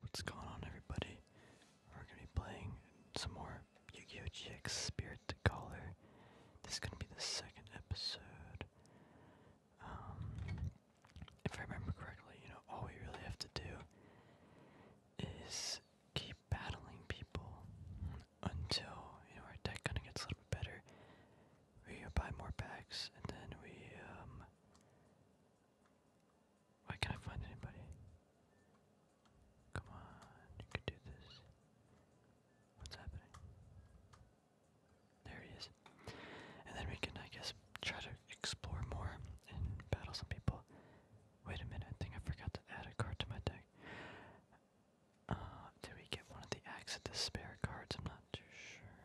What's going on everybody? We're gonna be playing some more Yu-Gi-Oh! GX Spirit Caller. This is gonna be the second episode. Um, if I remember correctly, you know, all we really have to do is keep battling people until, you know, our deck kinda gets a little bit better. We buy more packs and then we um why can't I find anybody? Come on, you can do this. What's happening? There he is. And then we can, I guess, try to explore more and battle some people. Wait a minute, I think I forgot to add a card to my deck. Uh, did we get one of the axe at the cards? I'm not too sure.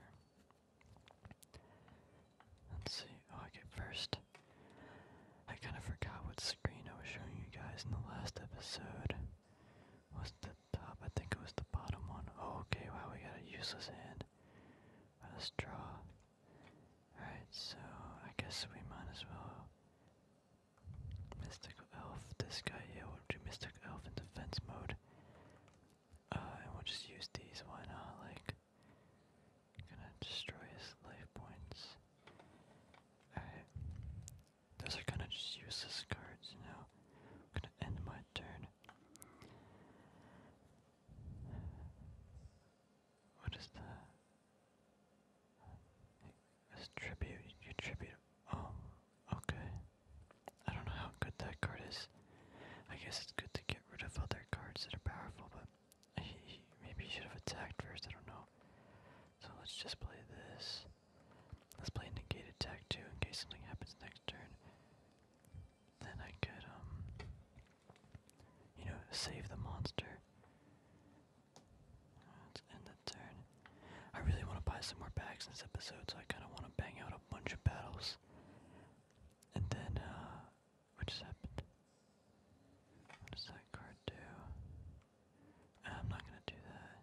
Let's see. Oh, I get first. I kind of forgot what screen I was showing you guys in the last episode. Was the top? I think it was the bottom one. Oh, okay. Wow, we got a useless hand. Let's draw. Alright, so I guess we might as well. Mystical Elf, this guy, here we'll do Mystical Elf in defense mode. Uh, and we'll just use these, why not? Like, Gonna destroy his life points. Alright. Those are kind of just useless cards, you gonna end my turn. What is that? This tribute, you tribute. Oh, okay. I don't know how good that card is. I guess it's good to get rid of other cards that are powerful, but he, maybe should have attacked first, I don't know. So let's just play this. Let's play negate attack too in case something happens next turn. Then I could, um, you know, save the monster. Let's end the turn. I really want to buy some more packs in this episode, so I kind of want to bang out a bunch of battles. And then, uh, what happened? What does that card do? Uh, I'm not gonna do that.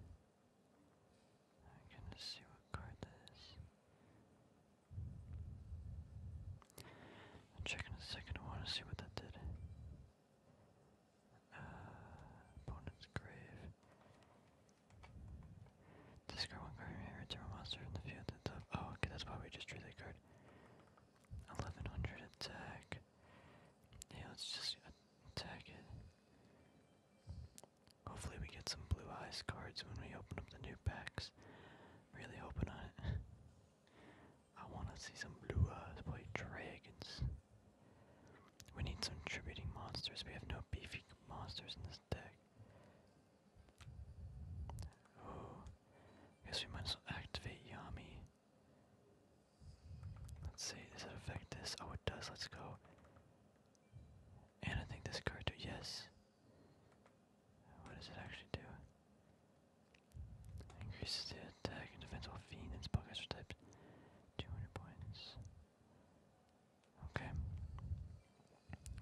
I'm gonna see what card that is. I'm checking a second, I wanna see what that did. Uh, opponent's grave. Discard one card from your return monster in the field. That's oh, okay, that's why we just drew that card. 1100 attack. Yeah, let's just attack it. Hopefully we get some blue eyes cards when we open up the new packs. Really hoping on it. I wanna see some blue eyes play dragons. We need some tributing monsters. We have no beefy monsters in this deck. Ooh. Guess we might as well activate Yami. Let's see, does it affect this? Oh, it does. Let's go. And I think this card too. Yes. What does it actually do? Increases the attack and defense of fiend and spellcaster types. 200 points. Okay.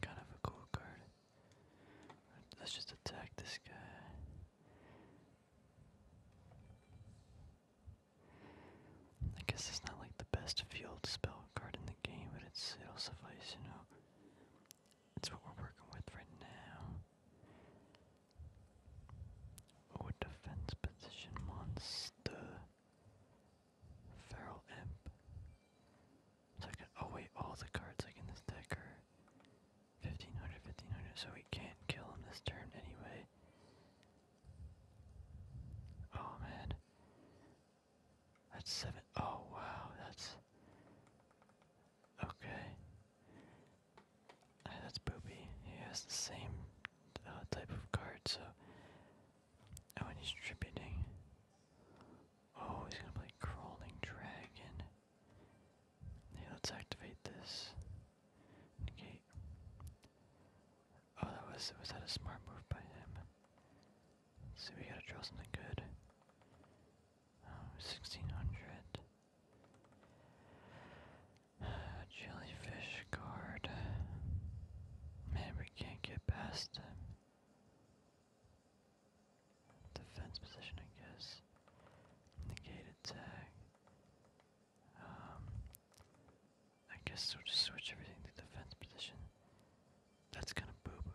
Kind of a cool card. Let's just attack this guy. I guess it's not like the best field spell card in the game, but it'll suffice, you know. It's what we're working with right now. Oh, defense position monster. Feral imp. So I can, oh wait, all the cards like in this deck are 1500, 1500, so we can't kill him this turn anyway. Oh man. That's seven. Oh wow, that's okay. Uh, that's Booby. He has the same uh, type of card, so oh, he's tributing. Oh, he's gonna play Crawling Dragon. Hey, let's activate this. Okay. Oh, that was was that a smart move by him? see, we gotta draw something good. 1600. Um, jellyfish guard. Man, we can't get past him defense position, I guess. Negate attack. Um, I guess we'll just switch everything to defense position. That's kind of boob.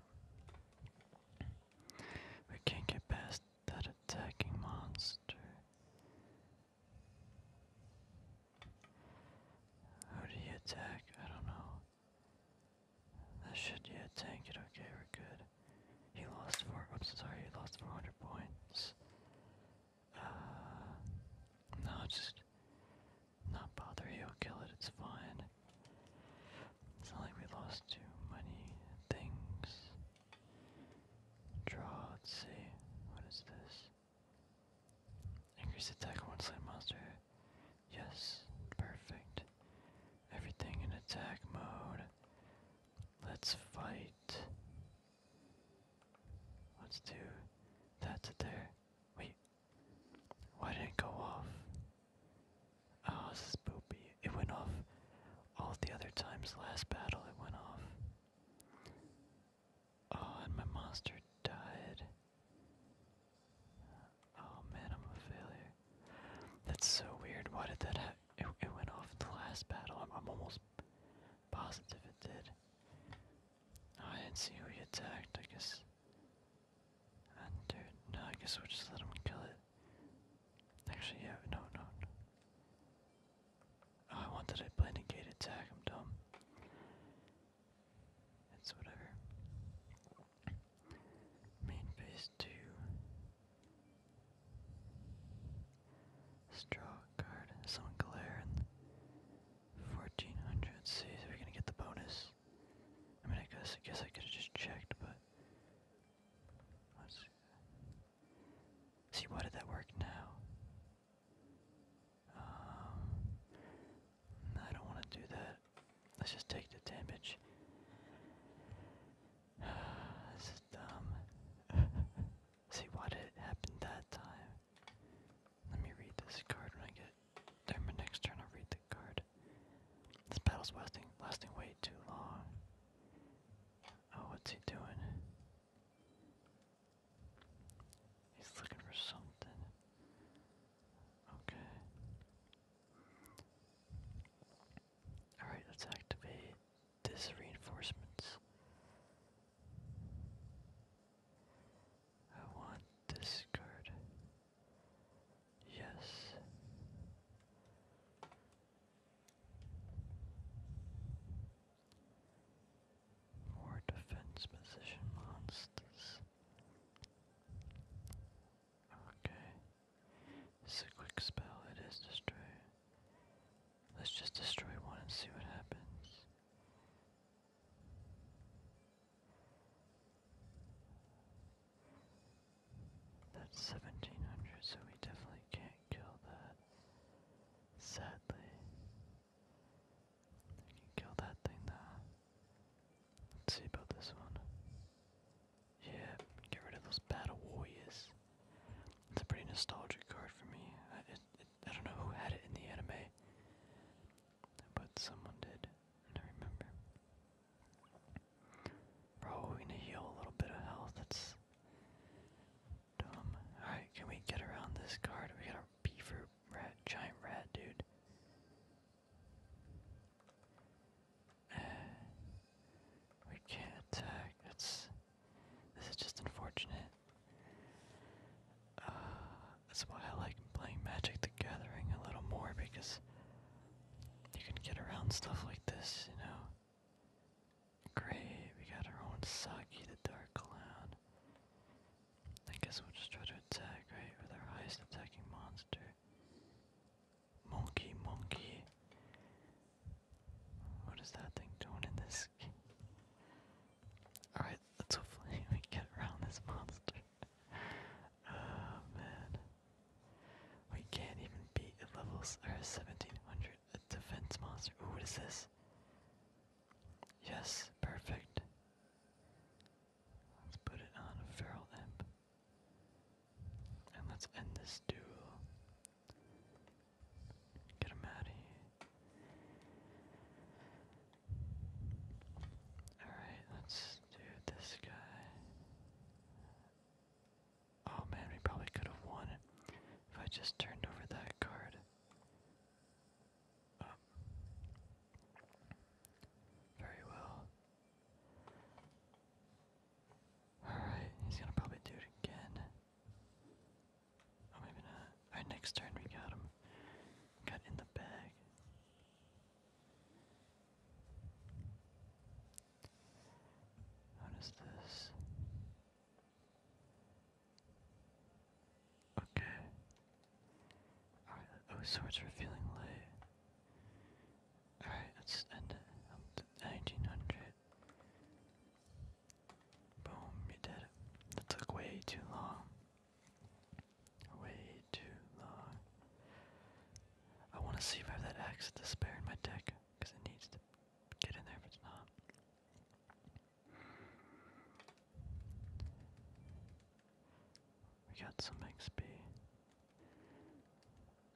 We can't get past that attacking monster. How do you attack? I don't know. That should yeah, tank it. Okay, we're good. He lost four. i I'm sorry, he lost 400 points. Uh, no, just not bother. He'll kill it. It's fine. It's not like we lost too many things. Draw. Let's see. What is this? Increase attack on one slay monster. Yes, perfect. Everything in attack mode. Let's fight. Let's do that there. Wait. Why didn't it go off? Oh, this It went off all the other times last battle it went off. Oh, and my monster died. Oh man, I'm a failure. That's so weird. Why did that ha it, it went off in the last battle. I'm, I'm almost positive it did. I didn't see who he attacked. I guess. Dude, no, I guess we'll just let him kill it. Actually, yeah, no, no, oh, I wanted a blindingate attack. I'm dumb. It's whatever. Main phase two. Straw card, Someone glared. 1400, see if we're gonna get the bonus. I mean, I guess I, guess I could have just checked, but. Let's see. See, why did that work now? Um, I don't want to do that. Let's just take the damage this is dumb. See, what happened that time? Let me read this card when I get there. My next turn, i read the card. This battle's lasting way too long. Oh, what's he doing? He's looking for something. Okay. Alright, let's activate this reinforcements. I want this Yes. More defense position monsters. Okay. It's a quick spell, it is destroy. Let's just destroy one and see what happens. That's 1700, so we definitely can't kill that. Sadly. We can kill that thing though. Let's see about this one. Yeah, get rid of those battle warriors. It's a pretty nostalgic card for me. I, I don't know who had it in the anime, but someone did, and I remember. Bro, we to heal a little bit of health. That's dumb. Alright, can we get around this card? We got a beaver rat, giant rat, dude. We can't attack. Uh, that's this is just unfortunate. Uh, that's why I like playing Magic the Gathering a little more because you can get around stuff like this, you know. Great, we got our own Saki the Dark Clown. I guess we'll just try to attack, right, with our highest attacking monster. Monkey, monkey. What is that thing doing in this Alright, let's hopefully we get around this monster. oh man. We can't even beat levels level 1700 a defense monster. Ooh, what is this? Yes, perfect. Let's put it on a feral imp. And let's end this duel. Get him out of here. Alright, let's do this guy. Oh man, we probably could have won if I just turned over that card. Um, very well. Alright, he's gonna probably do it again. Oh, maybe not. Alright, next turn we got him. Got in the bag. What is this? Okay. Alright, oh, so much feeling late. Alright, let's end it. 1900. Um, Boom, you did it. That took way too long. Way too long. I want to see if I have that axe to spare in my deck, because it needs to get in there if it's not. We got some XP.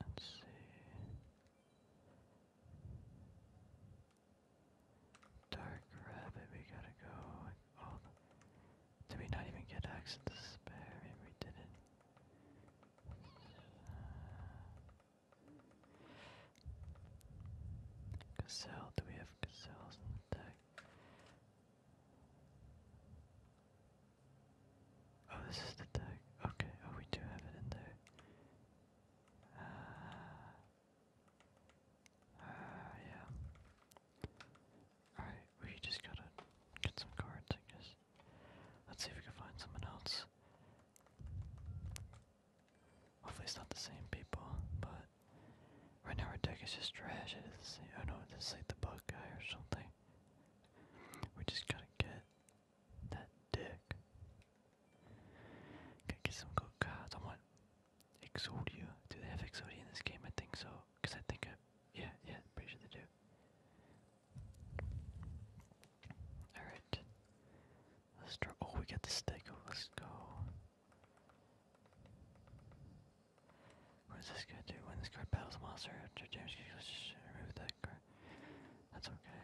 Let's see. Dark rabbit, we gotta go. did we not even get access to spare? Maybe we didn't. Uh, do we have gazelles deck? Oh, this is the deck. Okay, oh, we do have it in there. Uh, yeah. Alright, we just gotta get some cards, I guess. Let's see if we can find someone else. Hopefully it's not the same people, but right now our deck is just trash. It is the same. Oh no, it's like the bug guy or something. We just gotta get that dick. Gotta get some good cards. I want Exodia. Do they have Exodia in this game? I think so. Because I think I. Yeah, yeah, pretty sure they do. Alright. Let's draw. Oh, we got the Stego. Let's go. What's does this guy do? When this card battles a monster, after James, remove that card. That's okay.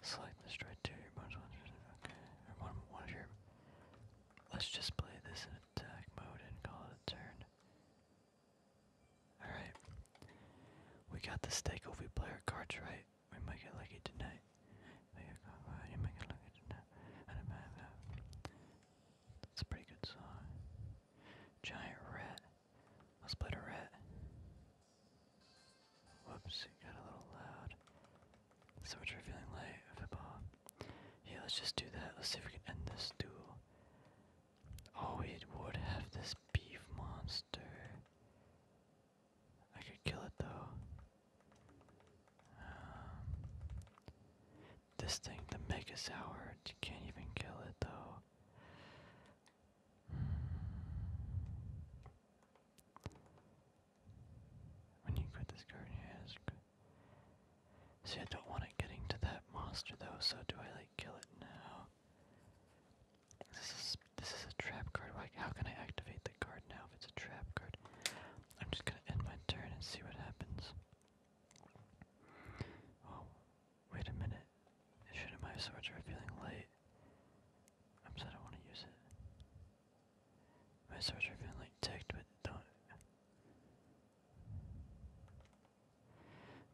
Select the straight two, okay, one, of your, let's just play this in attack mode and call it a turn. Alright, we got the stake if we play our cards right, we might get lucky tonight. You might get lucky tonight. That's a pretty good song. Giant rat. Let's play the rat. Whoops, it got a little loud. So what you're feeling like, football? Yeah, let's just do that. Let's see if we can end this duel. Oh, we would have this beef monster. I could kill it though. Um, this thing, the Mega Sour, you can't even kill it though. When you quit this card, you ask. See, I don't want it getting to that monster though, so do I like kill it now? This is this is a trap card. Like, how can I activate the card now if it's a trap card? I'm just gonna end my turn and see what happens. Oh, Wait a minute. shouldn't my swords are feeling light. I'm sad I don't want to use it. My swords are feeling like ticked, but don't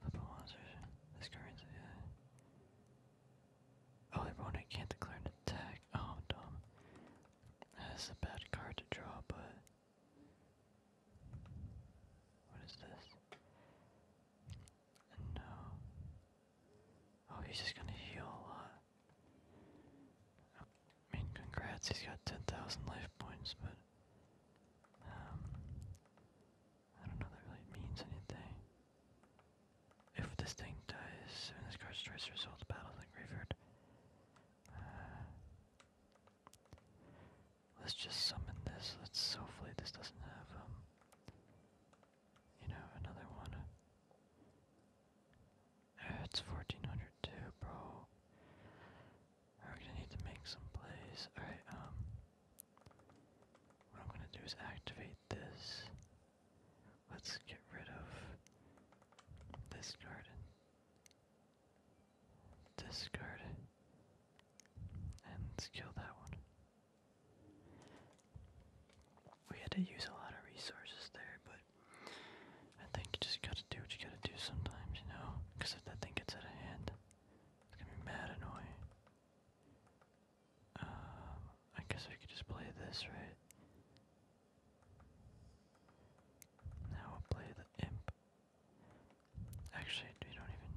Flip monsters. This currency, Oh, everyone I can't declare an attack. Oh dumb. That's a bad card to draw, but what is this? no. Oh, he's just gonna heal a lot. I mean, congrats, he's got 10,000 life points, but. Um, I don't know that really means anything. If this thing dies, and this card destroys the battle in graveyard. Uh, let's just summon this. Let's hopefully this doesn't have um, you know, another one. Uh, it's 1402, bro. We're gonna need to make some plays. Alright, um. What I'm gonna do is activate this. Let's get rid of this garden. Discard and let's kill that one. We had to use a lot of resources there, but I think you just gotta do what you gotta do sometimes, you know? Because if that thing gets out of hand, it's gonna be mad annoying. Um, I guess we could just play this, right? Now we'll play the imp. Actually, we don't even.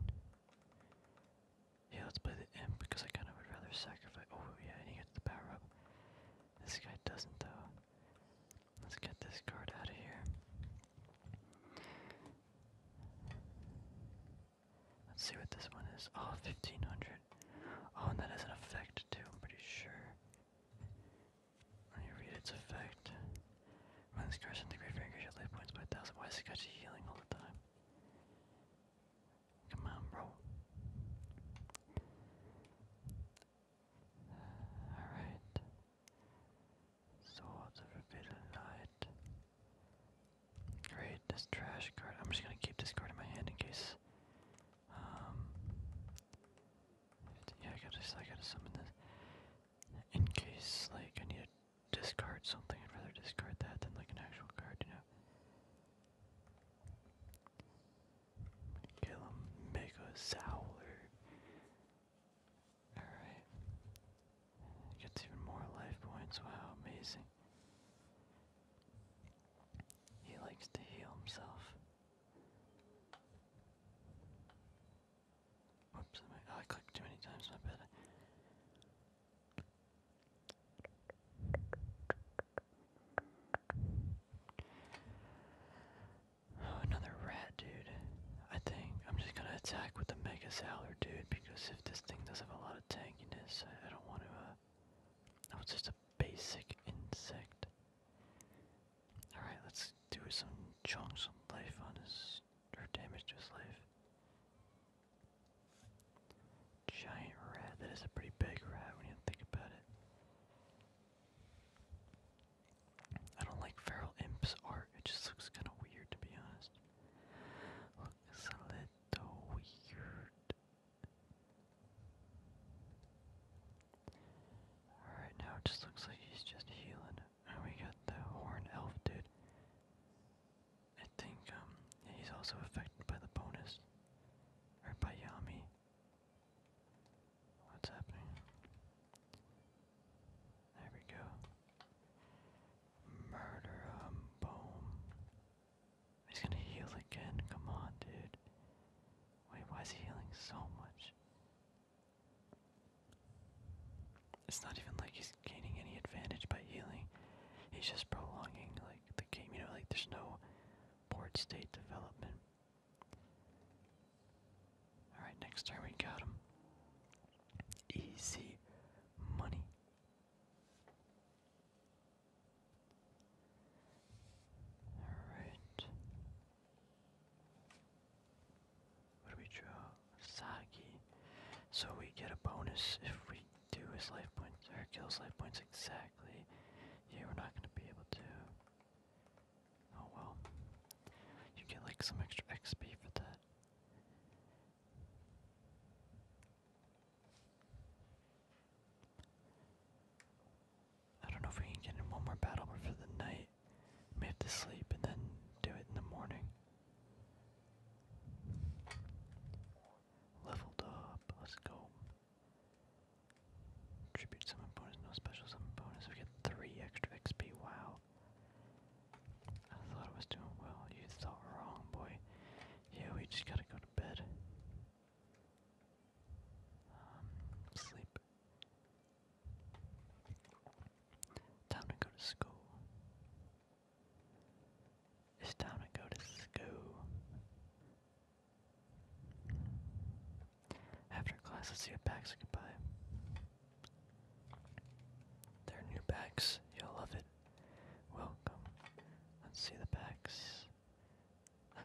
Yeah, let's play the imp because I kind of would rather sacrifice. Oh, yeah, he gets the power up. This guy doesn't, though. Let's get this card out of here. Let's see what this one is. Oh, 1500. Oh, and that has an effect, too, I'm pretty sure. Let me read its effect. When this card sent the graveyard, increase your life points by 1000. Why is it got you healing all the time? Come on, bro. Alright. Swords of Forbidden Light. Great, this trash card. I'm just gonna keep this card in my hand in case. Um. Yeah, I gotta, I gotta summon this. In case, like, I need discard something. I'd rather discard that than like an actual card, you know. Kill him, make a Alright. Gets even more life points. Wow, amazing. He likes to heal himself. Oops, I, oh, clicked too many times, my bad. Oh, another rat, dude. I think I'm just gonna attack with the Mega Zowler, dude, because if this thing does have a lot of tankiness, I, don't want to, uh. Oh, just a basic insect. Alright, let's do some chunks of life on his. or damage to his life. Giant rat. That is a pretty big rat when you think about it. I don't like feral imps art. It just looks kind of weird, to be honest. Looks a little weird. Alright, now it just looks like he's just healing. And we got the horn elf dude. I think um, he's also affected by the bonus. Or by Yami. What's happening? There we go. Murder um boom. He's gonna heal again. Come on, dude. Wait, why is he healing so much? It's not even like he's he's gaining any advantage by healing. He's just prolonging like the game, you know, like there's no board state development. Alright, next turn we got him. Easy money. Alright. we draw? Sagi. So we get a bonus if we do his life points, or kill his life points exactly. Yeah, we're not gonna be able to. Oh well. You get like some extra XP for that. I don't know if we can get in one more battle but for the night. We may have to sleep and then do it in the morning. Leveled up, let's go. Tribute summon bonus, no special summon bonus. We get three extra XP, wow. I thought I was doing well. You thought wrong, boy. Yeah, we just gotta go to bed. Um, sleep. Time to go to school. It's time to go to school. After class, let's see your bags goodbye. They're new bags. You'll love it. Welcome. Let's see the packs.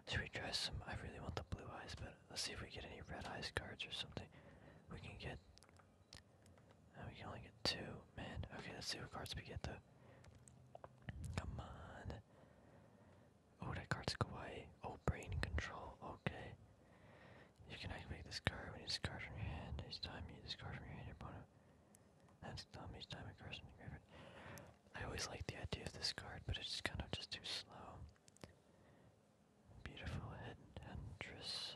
Should we try some? I really want the blue eyes, but let's see if we get any red eyes cards or something. We can get. Uh, we can only get two man. Okay, let's see what cards we get though. Come on. Oh, that card's kawaii. Oh, brain control. Okay. You can activate this card when you discard from your hand. Each time you discard from your hand, your opponent has That's each time it card from your graveyard. I always like the idea of this card, but it's kind of just too slow. Beautiful head huntress.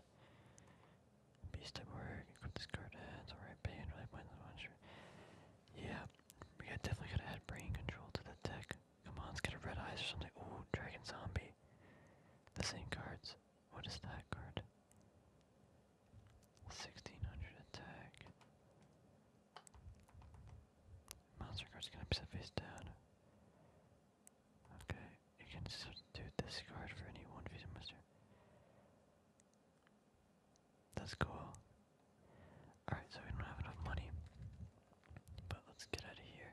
Beast at work, equip this card heads, alright, pain, really point the launcher. Yeah, we got definitely gotta add brain control to the deck. Come on, let's get a red eyes or something. Ooh, Dragon Zombie. The same cards. What is that card? 1600 attack. Monster card's gonna be face down. Okay, you can substitute this card for any one Visa Monster. That's cool. Alright, so we don't have enough money. But let's get out of here.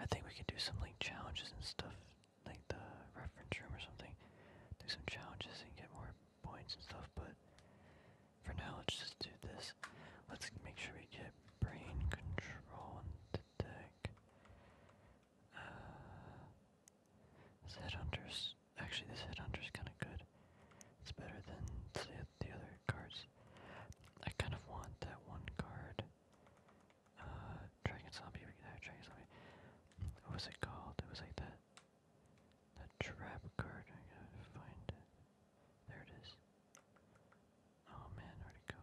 I think we can do some like challenges and stuff, like the reference room or something. Do some challenges and get more points and stuff, but for now let's just do this. Let's make sure we get brain control on the deck. Uh, this headhunter's actually this headhunter's kind of good. It's better than the, the other cards. I kind of want that one card. Uh, Dragon Zombie. Uh, Dragon Zombie. What was it called? It was like that. That trap card. I gotta find it. There it is. Oh man, where'd it go?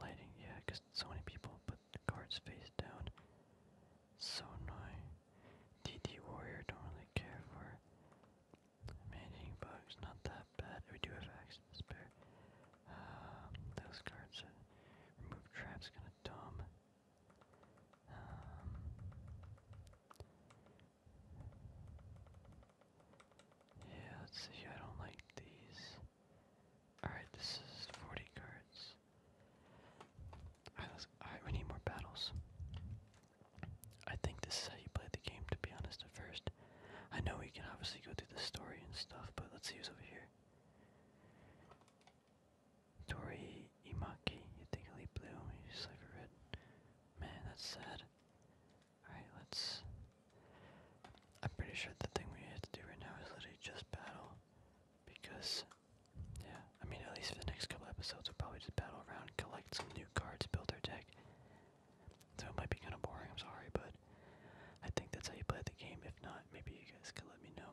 Lighting. Yeah, because so many people. But the cards face down. So annoying. DD Warrior, don't really care for managing bugs, not that bad. We do have axe to spare. Um, those cards are, remove traps, kinda dumb. Um, yeah, let's see, I don't like these. Alright, this is 40 cards. Alright, we need more battles. I think this is how you play the game, to be honest, at first. I know we can obviously go through the story and stuff, but let's see who's over here. Tori Imaki, you think I will eat blue, you sliver red. Man, that's sad. Alright, let's... I'm pretty sure the thing we have to do right now is literally just battle. Because yeah, I mean, at least for the next couple episodes, we'll probably just battle around, collect some new cards, build our deck. So it might be kind of boring, I'm sorry, but I think that's how you play the game. If not, maybe you guys can let me know.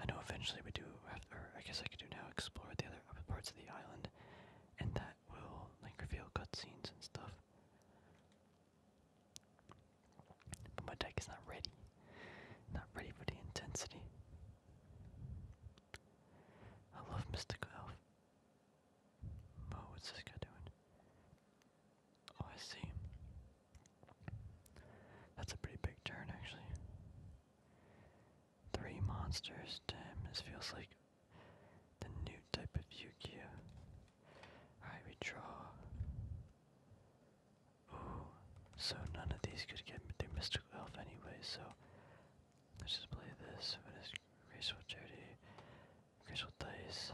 I know eventually we do, have, or I guess I can do now, explore the other parts of the island, and that will, like, reveal cutscenes and stuff. But my deck is not ready. Not ready for the intensity. I love Mr. Elf. Oh, what's this guy doing? Oh, I see. That's a pretty big turn, actually. Three monsters. Damn, this feels like the new type of Yu-Gi-Oh. Alright, we draw. Ooh, so none of these could get their mystical elf anyway, so let's just play this. What is graceful charity? Graceful dice.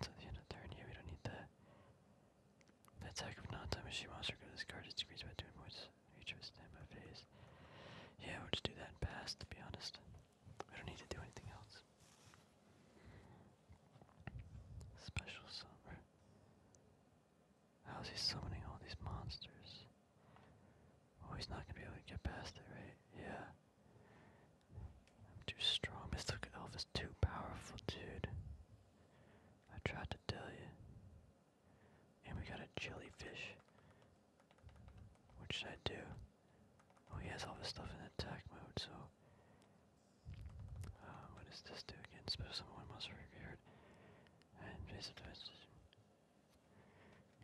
It's the end of turn, yeah, we don't need that. attack of non time machine monster this card, it's increased by two points. Each of stand by phase. Yeah, we'll just do that and pass, to be honest. We don't need to do anything else. Special summer. How's he summoning all these monsters? Oh, he's not gonna be able to get past it, right? Yeah. I'm too strong. Mr. Elf is too powerful, dude. I tried to tell you. And we got a jellyfish. What should I do? Oh, he has all this stuff in attack mode, so. Uh, what does this do again? Suppose someone must regard I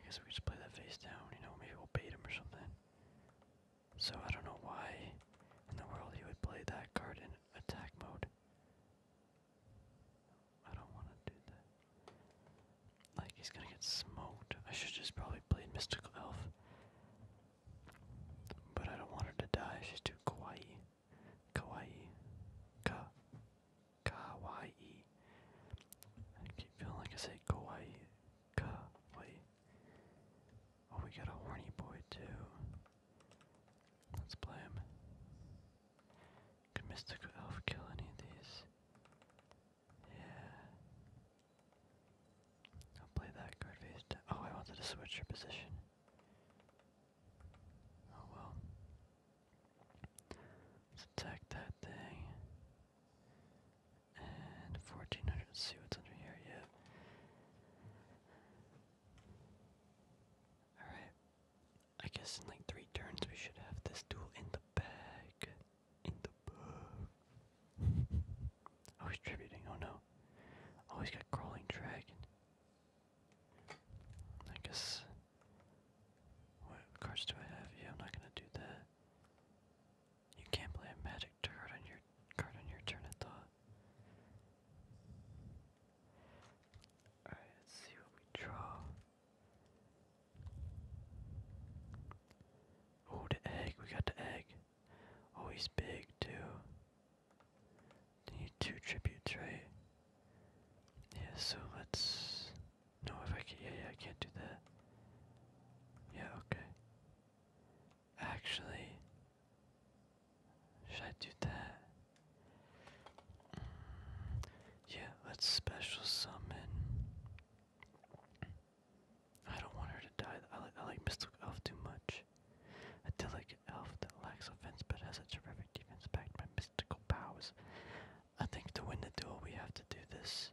guess we just play that face down, you know, maybe we'll bait him or something. So I don't know why in the world he would play that card in attack mode. I don't want to do that. Like he's gonna get smoked. I should just probably play Mystical Elf. But I don't want her to die, she's too quiet. Kawaii. Ka. Kawaii. I keep feeling like I say kawaii. Kawaii. Oh, we got a horny boy too. Let's play him. Could Mystical Elf kill any of these? Yeah. I'll play that card face Oh, I wanted to switch your position. Oh well. Let's attack that thing. And 1400, see what's under here, Yeah. Alright. I guess in like three turns we should have this duel in the bag. In the bag. oh, tributing, oh no. Always oh, got Crawling Dragon. I guess. What cards do I have? Yeah, I'm not gonna do that. You can't play magic card on your card on your turn. I thought. All right, let's see what we draw. Oh, the egg. We got the egg. Oh, he's big too need two tributes, right? Yeah, so let's. No, if I can. Yeah, yeah, I can't do that. Yeah, okay. Actually, should I do that? Mm, yeah, let's special summon. I don't want her to die. I like, I like Mystical Elf too much. Idyllic elf that lacks offense but has a terrific defense backed by mystical powers. I think to win the duel we have to do this.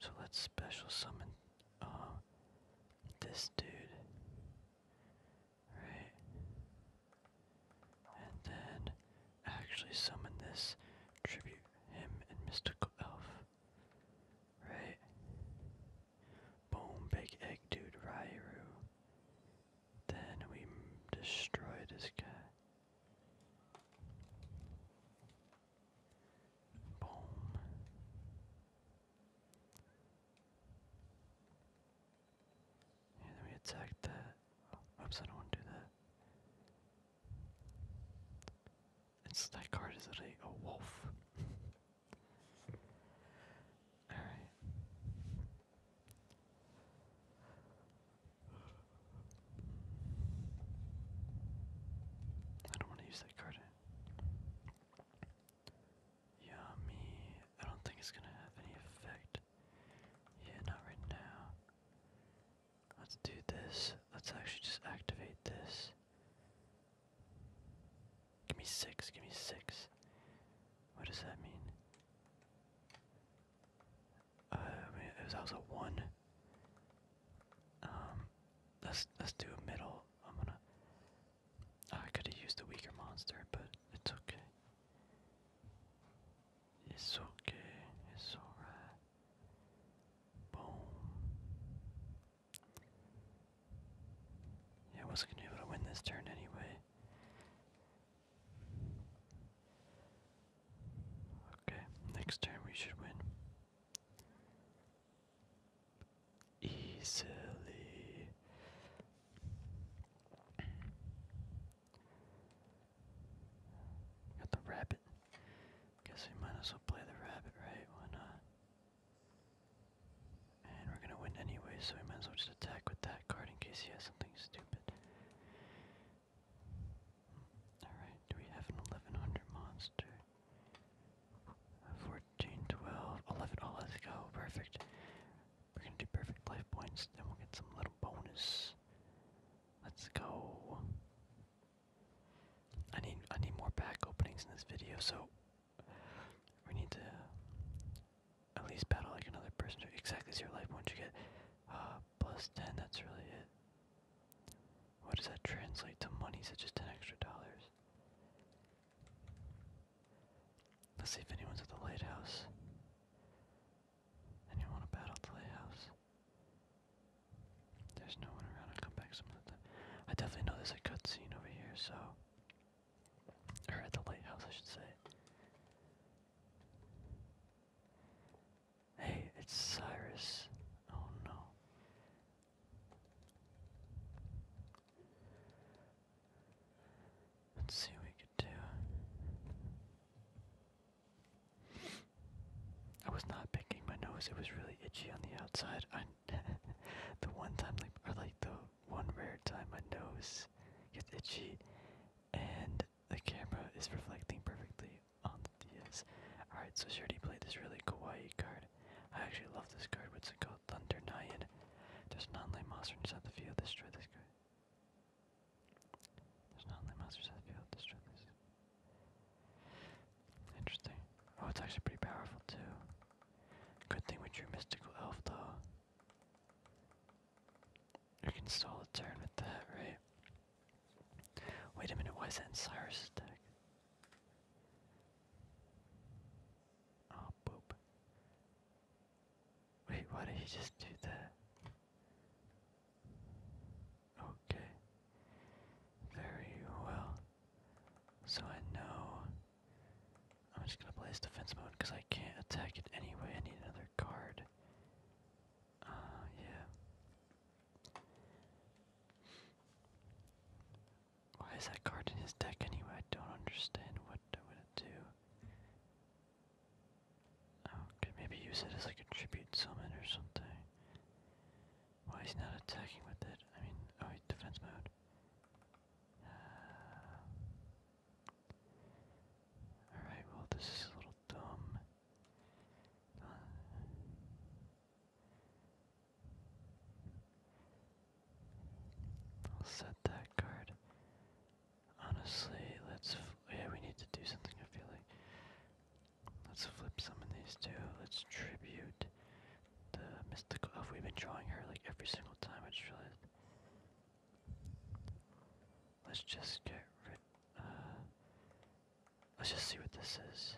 So let's special summon uh, this dude. Right. And then actually summon this, tribute him and mystical elf. Right. Boom, big egg dude, Rairu. Then we destroy this guy. Boom. And then we attack that. Oops, I don't want to do that. So that card is a wolf. Alright. I don't want to use that card. Yummy. I don't think it's gonna have any effect. Yeah, not right now. Let's do this. Let's actually just activate this. Give me six, give me six. What does that mean? Uh, I mean, that was a one, um, let's let's do a middle. I'm gonna. Oh, I could have used a weaker monster, but it's okay. It's okay. It's alright. Boom. Yeah, I wasn't gonna be able to win this turn anyway. Okay, next turn we should win. Easily. Got the rabbit. Guess we might as well play the rabbit, right? Why not? And we're gonna win anyway, so we might as well just attack with that card in case he has something stupid. Alright, do we have an 1100 monster? 14, 12, 11. let's go. Perfect. We're going to do perfect life points, then we'll get some little bonus. Let's go. I need I need more pack openings in this video, so we need to at least battle like another person. Exactly zero life once you get uh, 10, that's really it. What does that translate to money such as 10 extra dollars? Let's see if anyone's at the lighthouse. Anyone want to battle the lighthouse? There's no one around. i come back some other time. I definitely know there's a cutscene over here, so. Or at the lighthouse, I should say. Hey, it's Cyrus. Oh no. Let's see what we could do. I was not picking my nose, it was really itchy on the outside. I the one time like or like the one rare time my nose gets itchy and the camera is reflecting perfectly on the DS. Alright, so Shirty played this really kawaii card. I actually love this card. What's it called? Thunder Knight. There's an online monster inside the field. Destroy this card. There's an online monster inside the field. Destroy this. Interesting. Oh, it's actually pretty powerful too. Good thing we drew Mystical Elf though. I can stall a turn with that, right? Wait a minute, why is that Cyrus' deck? Oh, boop. Wait, why did he just do that? Okay. Very well. So I know I'm just gonna place defense mode because I can't attack it anyway. I need another card. Uh, yeah. Why is that card in his deck anyway? I don't understand what I am gonna do. Oh, maybe use it as like a tribute summon or something. Why he's not attacking with it? I mean, oh, he's defense mode. Uh, Alright, well, this is a little dumb. I'll set that card. Honestly, let's. Yeah, we need to do something, I feel like. Let's flip some of these too. Let's tribute the mystical. Oh, we've been drawing her like every single time, I just realized. Let's just get rid. Uh, let's just see what this is.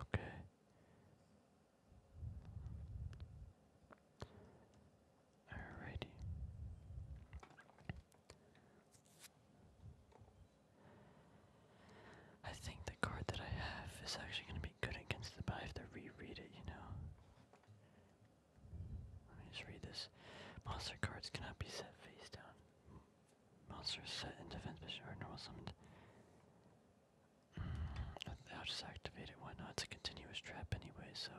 Okay. Alrighty. I think the card that I have is actually going to be good against it, but have to reread it, you know? Let me just read this. Monster cards cannot be set face down. Monsters set in defense position are normal summoned. Mm, I'll just activate it. Why not? It's a continuous trap anyway, so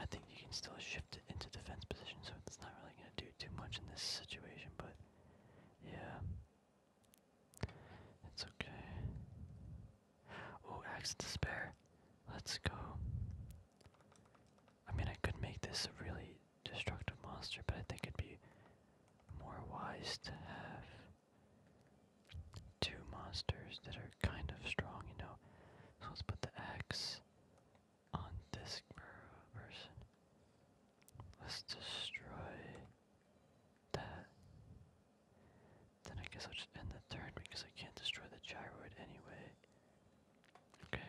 I think you can still shift it into defense position, so it's not really going to do too much in this situation, but yeah. It's okay. Oh, Axe to spare. Let's go. I mean, I could make this a really destructive monster, but I think it'd be more wise to have two monsters that are kind of strong, you know. So let's put the axe on this person. Let's destroy that. Then I guess I'll just end the turn because I can't destroy the gyroid anyway. Okay.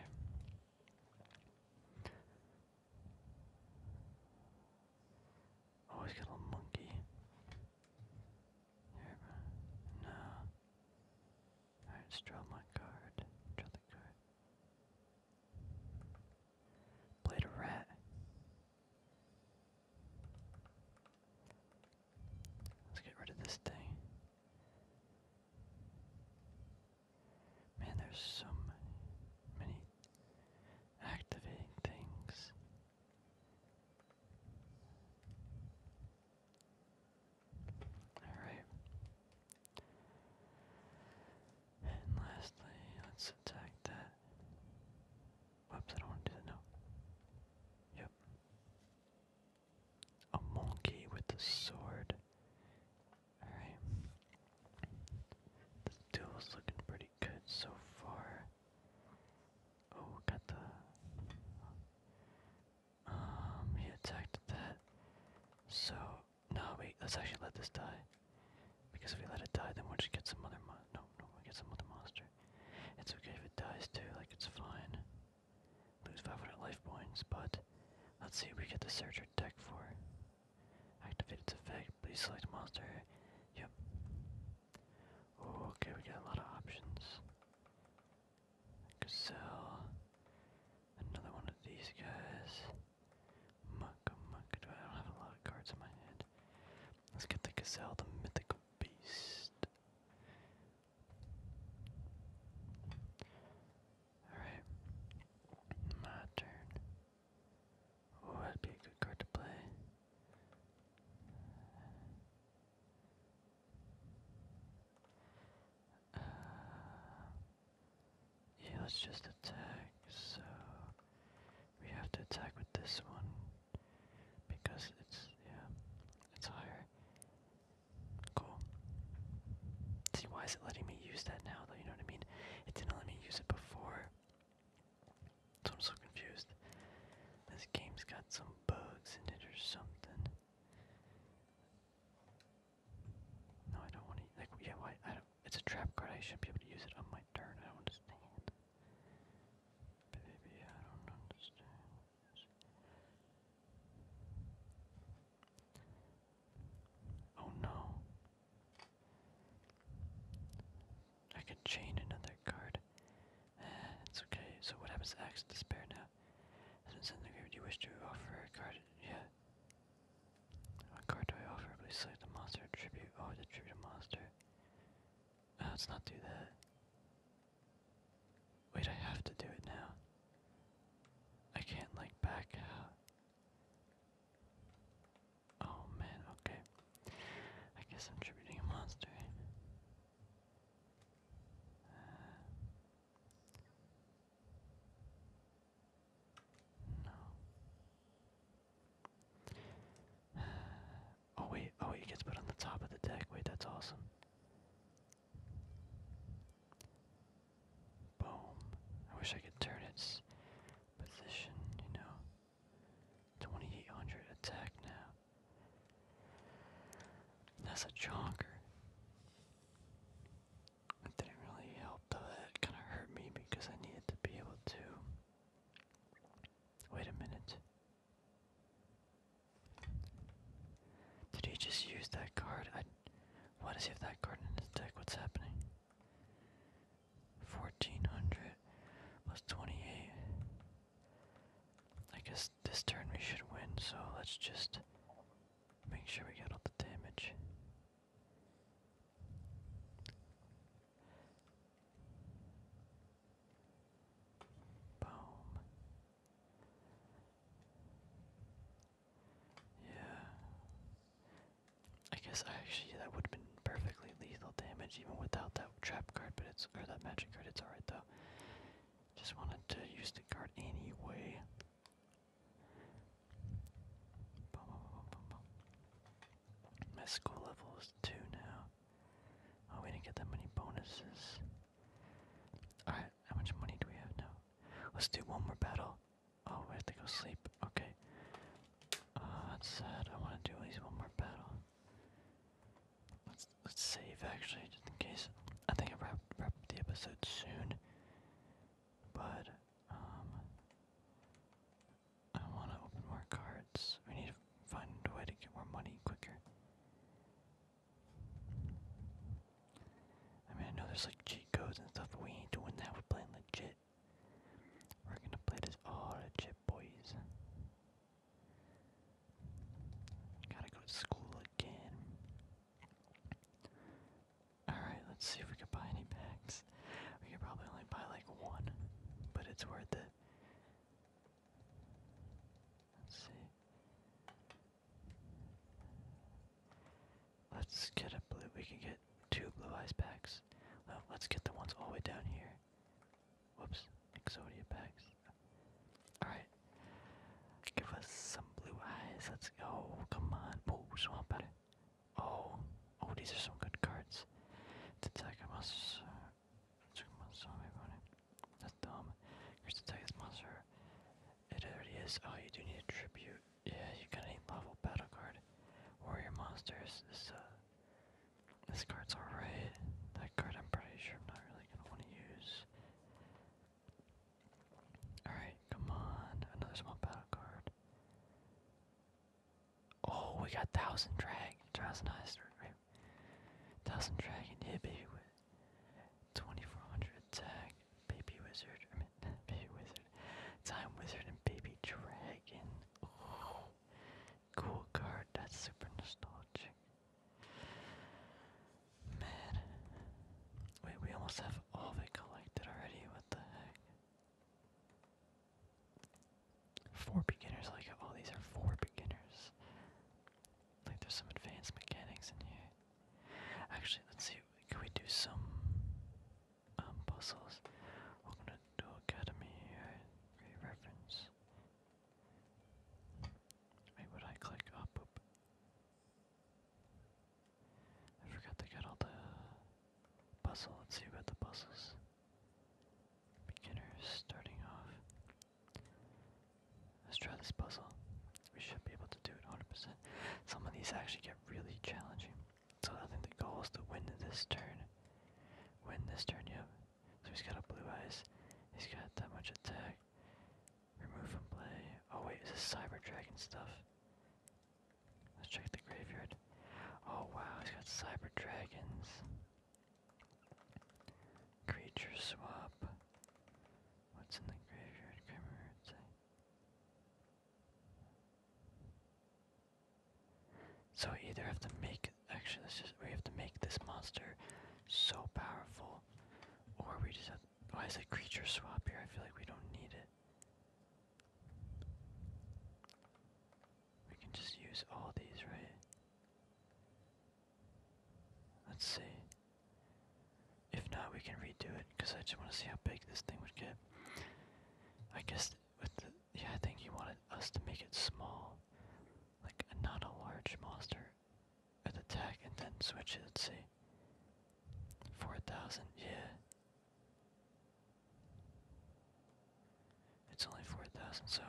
Oh, got a monkey. Here, no. Alright, just draw my card. Draw the card. Played a rat. Let's get rid of this thing. Man, there's so many activating things. Alright. And lastly, let's attack the. Whoops, I don't want to do that now. Yo. A monkey with a sword. Alright. This duel's looking pretty good so far. Oh, got the. Um, he attacked that. So, no, wait, let's actually let this die. Because if we let it die, then we'll just get some other no, no, we get some other monster. It's okay if it dies too, like it's fine. Lose 500 life points, but let's see what we get the searcher deck for. Activate its effect, please select monster. Yep. Okay, we got a lot of options. I another one of these guys. Muck, muck. I don't have a lot of cards in my hand. Let's get the gazelle, the mythic beast. Alright. My turn. Oh, that'd be a good card to play. Uh, yeah, let's just attack. So we have to attack with this one because it's yeah. It's higher. Cool. See, why is it letting me use that now, though? You know what I mean? It didn't let me use it before. So I'm so confused. This game's got some bugs in it or something. No, I don't want to. Like, yeah, why? I don't. It's a trap card. I shouldn't be able to use it on my turn. I don't understand. Baby, I don't understand. Oh no. I can chain another card. it's okay. So what happens to Axe Despair now? Since in the graveyard you wish to offer a card yeah. What card do I offer? Please select a monster tribute. Oh, the tribute a monster. Oh, let's not do that. Wait, I have to do it now. I can't, like, back out. Oh man, okay. I guess I'm tributing a monster. Uh, no. Oh wait, oh wait, it gets put on the top of the deck. Wait, that's awesome. Boom. I wish I could turn its position, you know. 2800 attack now. That's a chonker. It didn't really help though, that kinda hurt me because I needed to be able to. Wait a minute. Did he just use that card? I why does he have that card in his deck? What's happening? 1400 plus 28. I guess this turn we should win, so let's just make sure we get all the damage. Boom. Yeah. I guess actually that would have been perfectly lethal damage even without that trap card, but it's or that magic card. It's alright though. Just wanted to use the card anyway. My skill level is two now. Oh, we didn't get that many bonuses. Alright, how much money do we have now? Let's do one more battle. Oh, we have to go sleep. Okay. Uh, sad. I want to do at least one more battle. Let's let's save actually, just in case. I think I wrap wrap the episode soon, but um, I want to open more cards. We need to find a way to get more money quicker. I mean, I know there's like cheat codes and stuff, but we ain't doing that. We're playing legit. We're gonna play this all legit, boys. Gotta go to school again. Alright, let's see if we can buy any packs. We could probably only buy like one, but it's worth it. Let's see. Let's get a blue. We can get two blue ice packs. let's get the ones all the way down here. Whoops, Exodia packs. Alright. Give us some blue eyes. Let's go. Come on. Oh, swamp at Oh. Oh, these are some good cards. It's attack. Uh, that's dumb. Chris attack this monster. It already is. Oh, you do need a tribute. Yeah, you got any level battle card. Warrior monsters. This uh, this card's alright. That card I'm pretty sure I'm not really gonna want to use. Alright, come on. Another small battle card. Oh, we got Thousand Drag. Thousand Eyes. Right, Thousand Dragon Baby Wizard. 2400 attack, Baby Wizard, Baby Wizard, Time Wizard, and Baby Dragon. Ooh, cool card, that's super nostalgic. Man, wait, we almost have all of it collected already, what the heck? Four beginners, like all these are four beginners. Like there's some advanced mechanics in here. Actually, let's see. Can we do some We're going to do Academy. here. reference. Wait, would I click? Oh, boop. I forgot to get all the bustle. Let's see about the puzzles. Beginner starting off. Let's try this puzzle. We should be able to do it 100%. Some of these actually get really challenging. So I think the goal is to win this turn. Win this turn, yeah. So he's got a blue eyes. He's got that much attack. Remove from play. Oh wait, is this Cyber Dragon stuff? Let's check the graveyard. Oh wow, he's got Cyber Dragons. Creature swap. What's in the graveyard? Grimmer, So we either have to make actually let's just we have to make this monster so powerful or we just have why is it creature swap here? I feel like we don't need it. We can just use all these, right? Let's see. If not, we can redo it because I just want to see how big this thing would get. I guess with the yeah, I think he wanted us to make it small, like a, not a large monster at attack, and then switch it. see. Four thousand, yeah. It's only four thousand, so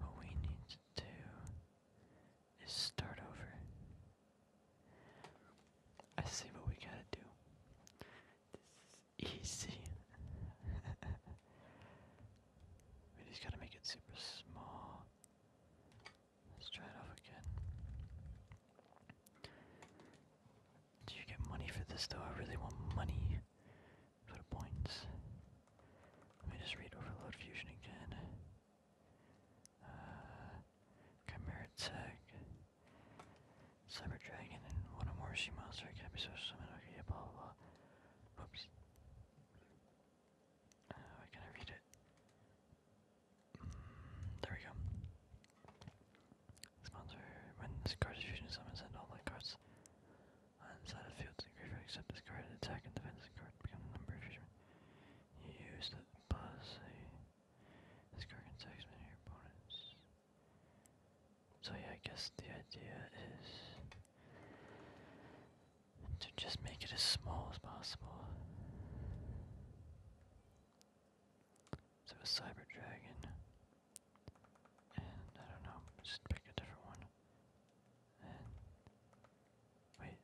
what we need to do is start over. I see what we gotta do. This is easy. we just gotta make it super small. Let's try it off again. Do you get money for this though? I really want money for the points. Let me just read Overload Fusion again uh, Cyber Dragon, and one more she monster can be social summon. Okay, yeah, Oops. Uh, can I read it? Mm, there we go. Sponsor. When this card is fusion summon, send all the cards on side of the field graveyard except this card. Attack and defense card become the number of fishermen. You use the plus this card can many opponents. So yeah, I guess the idea is to just make it as small as possible. So a cyber dragon. And I don't know, just pick a different one. wait,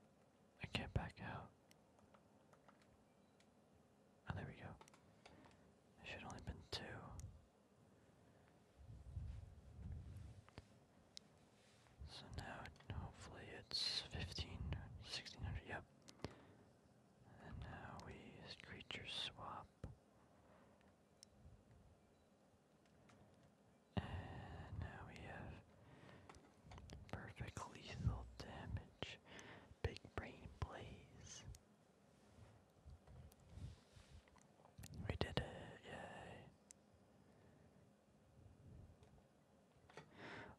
I can't back out. Oh, there we go. It should only been two. So now hopefully it's 15, yep. And now we creature swap. And now we have perfect lethal damage. Big brain blaze. We did it, yay.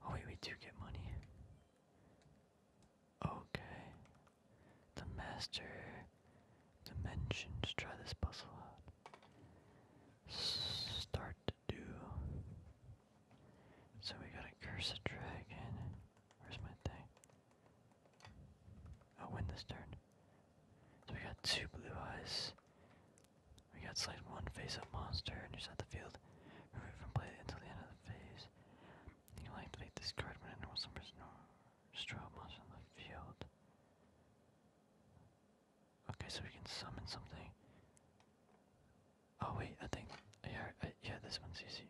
Oh wait, we do get money. Okay. The master dimension. Just try this puzzle out. Start do. So we gotta curse a dragon. Where's my thing? i oh, win this turn. So we got two blue eyes. We got select one face-up monster and you set the field. Remove from play until the end of the phase. You can activate this card when it normal summers no straw monster in the field. Okay, so we can summon something. Oh wait, I think yeah, yeah, this one's easy,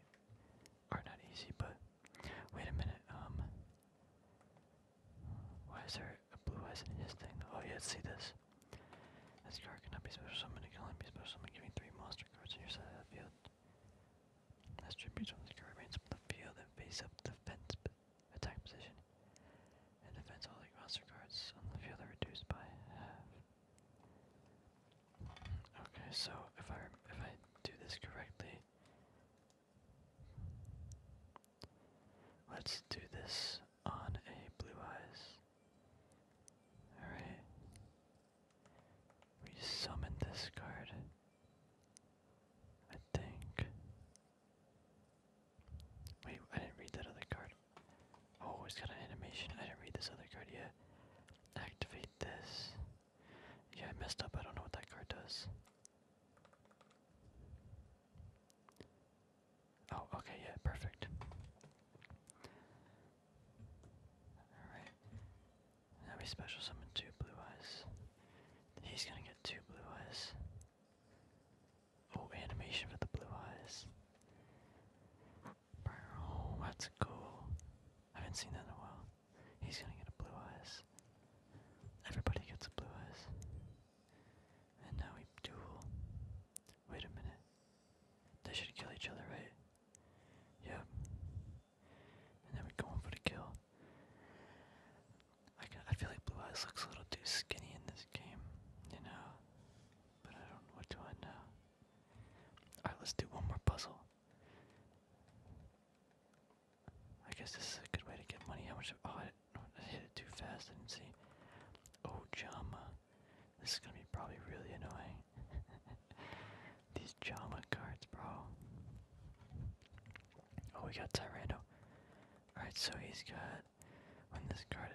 or not easy, but wait a minute. Um, why is there a blue eyes in his thing? Oh yeah, see this. This card cannot be special summoned. It can only be special summoned giving three monster cards on your side of the field. As tributes from remains from the field and face up defense position. It defends all league roster cards on the field are reduced by half. Okay, so if I if I do this correctly, let's do this on a blue eyes. All right, we summon this card. I think. Wait, I didn't read that other card. Oh, it's got an animation. I didn't read this other card yet. Activate this. Yeah, I messed up. I don't know what that card does. Oh, okay, yeah, perfect. Alright. Now we special summon two blue eyes. He's gonna get two blue eyes. Oh, animation for the blue eyes. Bro, that's cool. I haven't seen that in a while. He's gonna get a blue eyes. Everybody gets a blue eyes. And now we duel. Wait a minute. They should kill each other, right? Yep. And then we're going for the kill. I, I feel like Blue Eyes looks a little too skinny in this game, you know? But I don't know what to do now. Alright, let's do one more puzzle. I guess this is a good way to get money. How much? Of, oh, I, I hit it too fast. I didn't see. Oh, Jama. This is gonna be probably really annoying. These Jama cards, bro. Oh, we got Tyrando. Alright, so he's got. When this card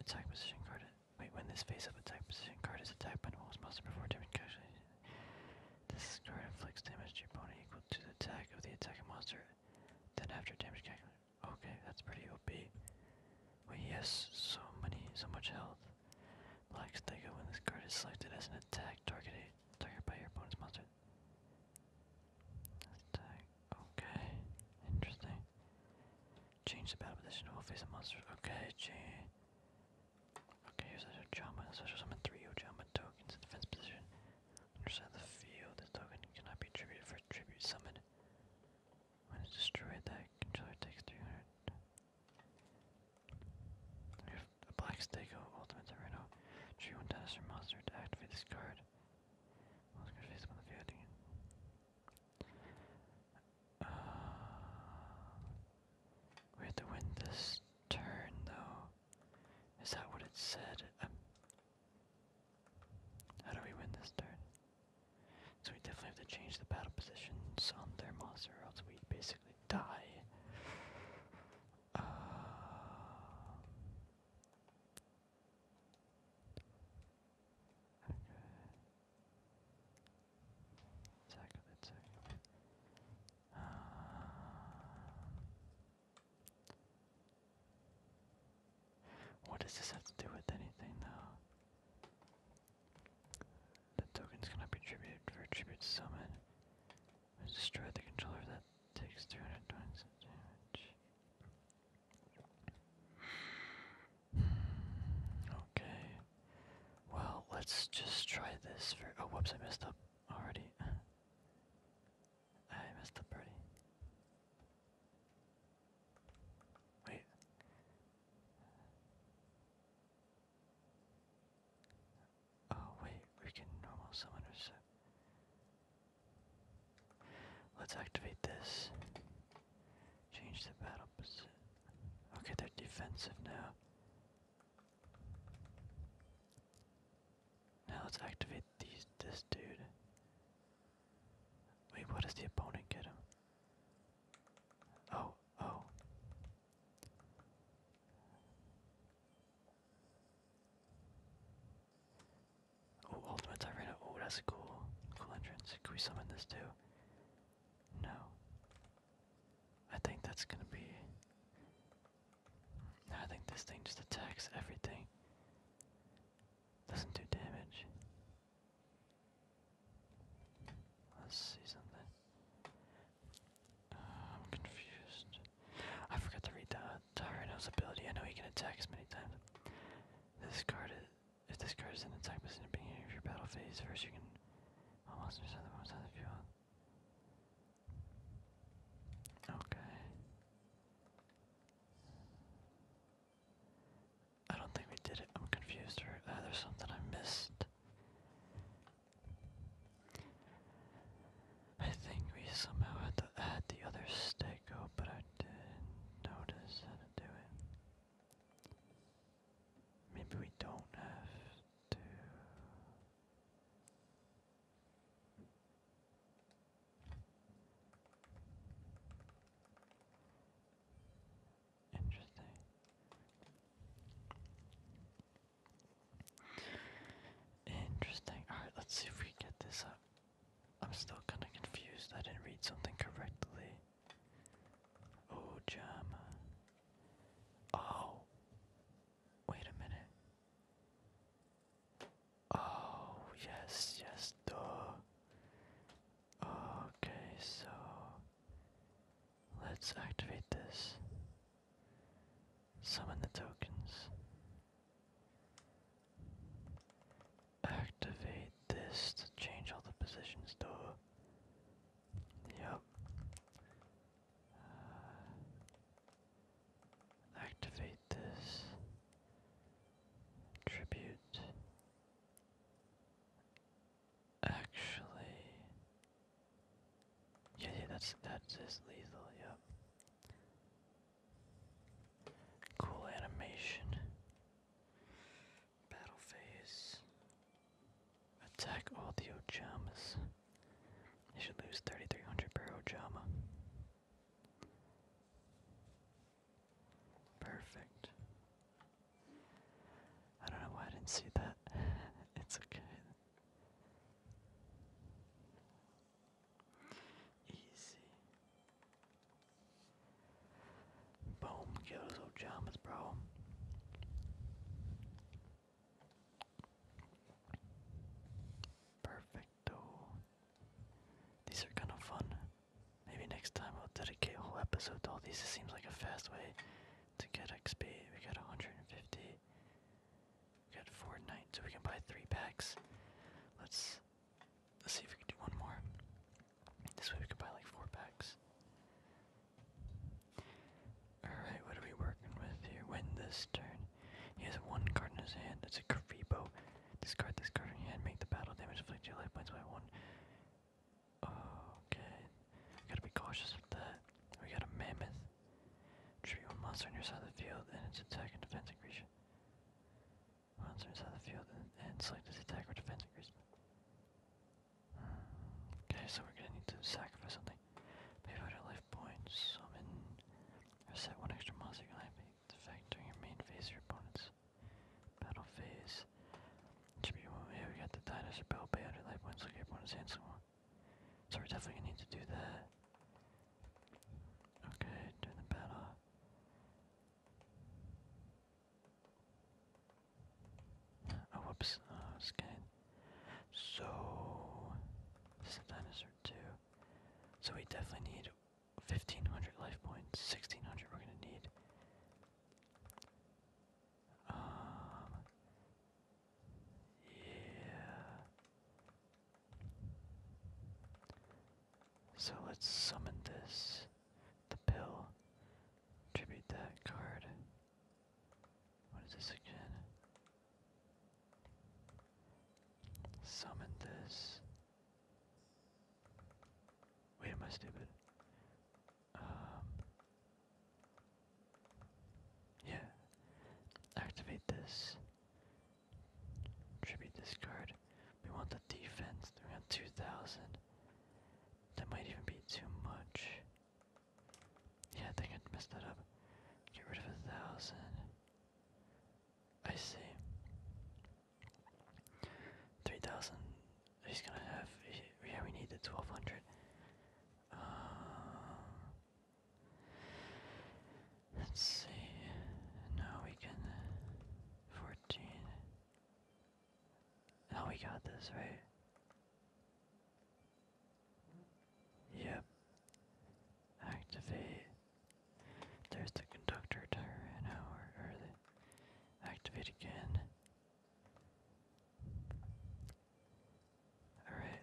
attack position card. Wait, when this face up attack position card is attacked by an almost monster before damage calculation, this card inflicts damage to your opponent equal to the attack of the attacking monster. Then after damage calculation. Okay, that's pretty OP. Well, he has so many, so much health. Black Stego when this card is selected as an attack targeted target by your opponent's monster. Okay, interesting. Change the battle position to face a monster. Okay, change. Okay, here's a Jamba. Special summon three Ojama tokens in defense position. Underside the field, this token cannot be attributed for tribute summon. When it's destroyed, that controller takes 300. We have a black stego, ultimate Torino. Tree one dinosaur monster to activate this card. Monster face on the field. Uh, we have to win this turn, though. Is that what it said? Um, how do we win this turn? So we definitely have to change the battle positions on their monster, or else we would basically die. Uh, Okay. Second, second. Uh, what does this have to do with anything, though? The tokens cannot be tribute for tribute summon. Destroy the controller that takes 220 damage. Okay. Well, let's just try this for. Oh, whoops, I messed up already. I messed up already. Wait. Oh, wait, we can normal summon Let's activate this. Change the battle position. Okay, they're defensive now. Now let's activate these this dude. Wait, what does the opponent get him? Oh, oh. Oh, Ultimate Tyranno. Oh, that's a cool, cool entrance. Can we summon this too? No. I think that's gonna be. I think this thing just attacks everything. Doesn't do damage. Let's see something. Uh, I'm confused. I forgot to read the Tyranno's ability. I know he can attack as many times. This card is if this card is in the type position at the beginning of your battle phase, first you can almost inside the outside the field. Okay. I don't think we did it. I'm confused. Or uh, there's something I missed. I think we somehow had to add the other stick, oh, but I didn't notice how to do it. Maybe we don't have to. Interesting. Interesting. Alright, let's see if we get this up. I'm still kinda confused. I didn't read something correctly. Oh jam. Oh. Wait a minute. Oh, yes, yes, duh. Okay, so let's activate this. Summon the tokens activate this to change all the positions though. Yep. Uh, activate this. Tribute. Actually, yeah, yeah, that's that's just lethal. Yep. Cool animation. Battle phase. Attack all the Ojamas. You should lose 3,300 per Ojama. Perfect. I don't know why I didn't see that. it's okay. Easy. Boom, kill those old jammers, bro. Perfecto. These are kind of fun. Maybe next time I'll dedicate a whole episode to all these. It seems like a fast way to get XP. We got 150. We got 4 nights, so we can buy 3 packs. Let's Let's see if we can do one more. This way we can buy like four packs. Alright, what are we working with here? When this turn. He has one card in his hand. That's a Karibo. Discard this card in your hand. Make the battle damage afflict your life points by one. Okay. gotta be cautious with that. We got a mammoth. Tree one monster on your side of the field and its attack and defense increase. Monster inside the field and, select its attack or defense increasement. Hmm, okay, so we're gonna need to sacrifice something. Pay out your life points, summon, or set one extra monster The effect during your main phase of opponent's battle phase. Should be, yeah, we got the dinosaur bell, pay out life points, look at your opponent's So we're definitely gonna need to do that. Okay, during the battle. Oh, whoops. Oh, So, this a dinosaur too. So we definitely need 1500 life points. 1600 we're gonna need. Um, yeah. So let's summon this the pill. Tribute that card. What is this again? Summon this. Wait, am I stupid? Um. Yeah. Activate this. Tribute this card. We want the defense. We want 2,000. That might even be too much. Yeah, I think I messed that up. Get rid of a thousand. I see. Three thousand. He's gonna have. Yeah, we need the twelve hundred. Uh, let's see. Now we can. Fourteen. Oh, we got this, right? Yep. Activate. There's the conductor tire now, or, activate again. Alright.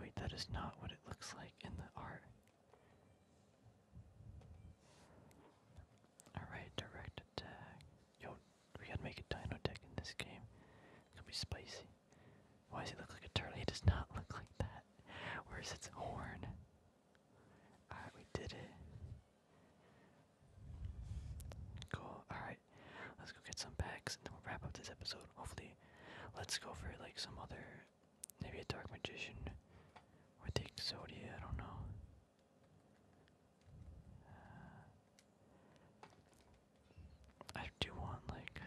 Wait, that is not what it looks like in the art. Alright, direct attack. Yo, we gotta make a dino deck in this game. It's gonna be spicy. Why does he look like a turtle? He does not look like that. Where's its horn? Alright, we did it. Cool. Alright, let's go get some packs and then we'll wrap up this episode. Hopefully, let's go for like some other. Maybe a Dark Magician or the Exodia, I don't know. Uh, I do want like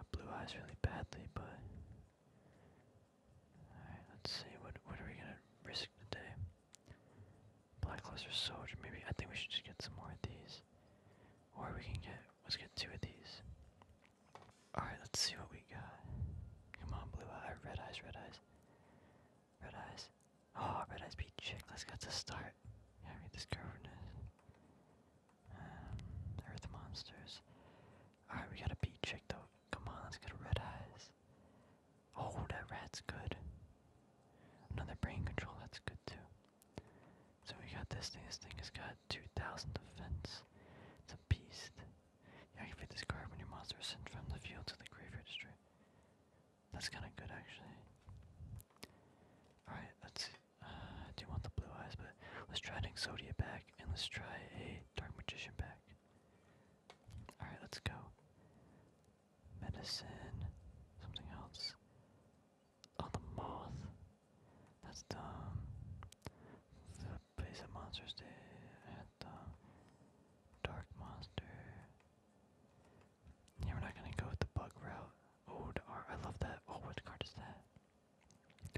a blue eyes really badly, but alright, let's see what what are we gonna risk today? Black cluster soldier, maybe I think we should just get some more of these. Or we can get let's get two of these. Alright, let's see what we got. Come on, blue eye, red eyes, red eyes. Red Eyes. Oh, Red Eyes beat Chick. Let's get to start. Yeah, read this covered Um, Earth Monsters. Alright, we gotta beat Chick though. Come on, let's get a Red Eyes. Oh, that rat's good. Another brain control, that's good too. So we got this thing. This thing has got 2,000 defense. It's a beast. You put this card when your monster is sent from the field to the grave destroy. That's kind of good, actually. Alright, let's. Uh, I want the blue eyes, but let's try an Exodia back and let's try a Dark Magician back. Alright, let's go. Medicine. Something else. Oh, the moth. That's dumb place of monsters day. I the dark monster. Yeah, we're not gonna go with the bug route. Oh, the I love that. Oh, what card is that?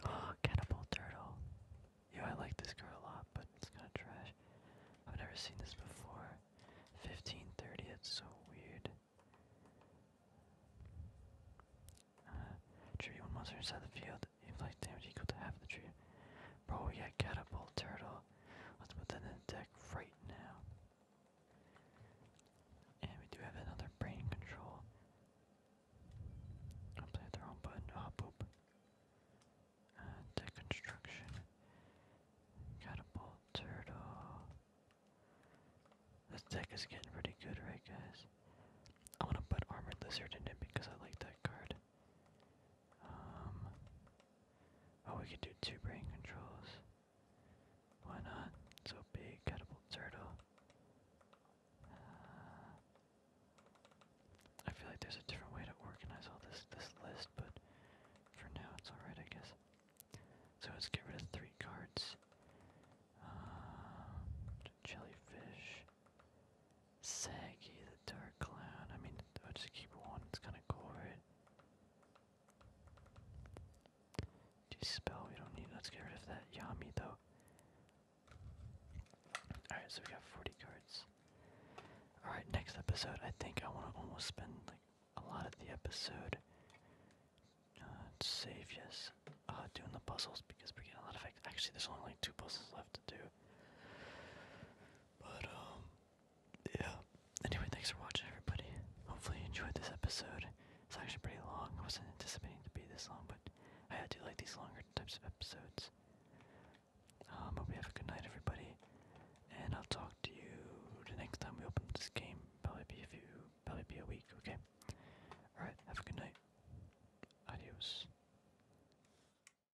Oh, Catapult Turtle. Yo, I like this card a lot, but it's kind of trash. I've never seen this before. 1530, it's so weird. Uh, tribute one monster the field inflict damage equal to half the tree. Bro, we got catapult turtle. Let's put that in the deck right now. And we do have another brain control. I'm playing the wrong button. Oh, boop. Uh, deck construction. Catapult turtle. This deck is getting pretty good, right, guys? I want to put Armored Lizard in it because I like that card. Um, oh, we could do two brain controls. Why not? So big, catapult turtle. Uh, I feel like there's a different way to organize all this this list, but for now it's alright, I guess. So let's get rid of three cards. Uh, jellyfish. Saggy the Dark Clown. I mean, i just keep one, it's kind of cool, right? Dispel, we don't need, let's get rid of that Yami though. Alright, so we got 40 cards. Alright, next episode, I think I want to almost spend like a lot of the episode. Uh, save, yes. Uh, doing the puzzles because we're getting a lot of. Actually, there's only like two puzzles left to do. But um yeah. Anyway, thanks for watching everybody. Hopefully you enjoyed this episode. It's actually pretty long. I wasn't anticipating to be this long, but I do like these longer types of episodes. Um hope you have a good night everybody. And I'll talk to you next time we open this game. Probably be a few probably be a week, okay? Alright, have a good night. Adios.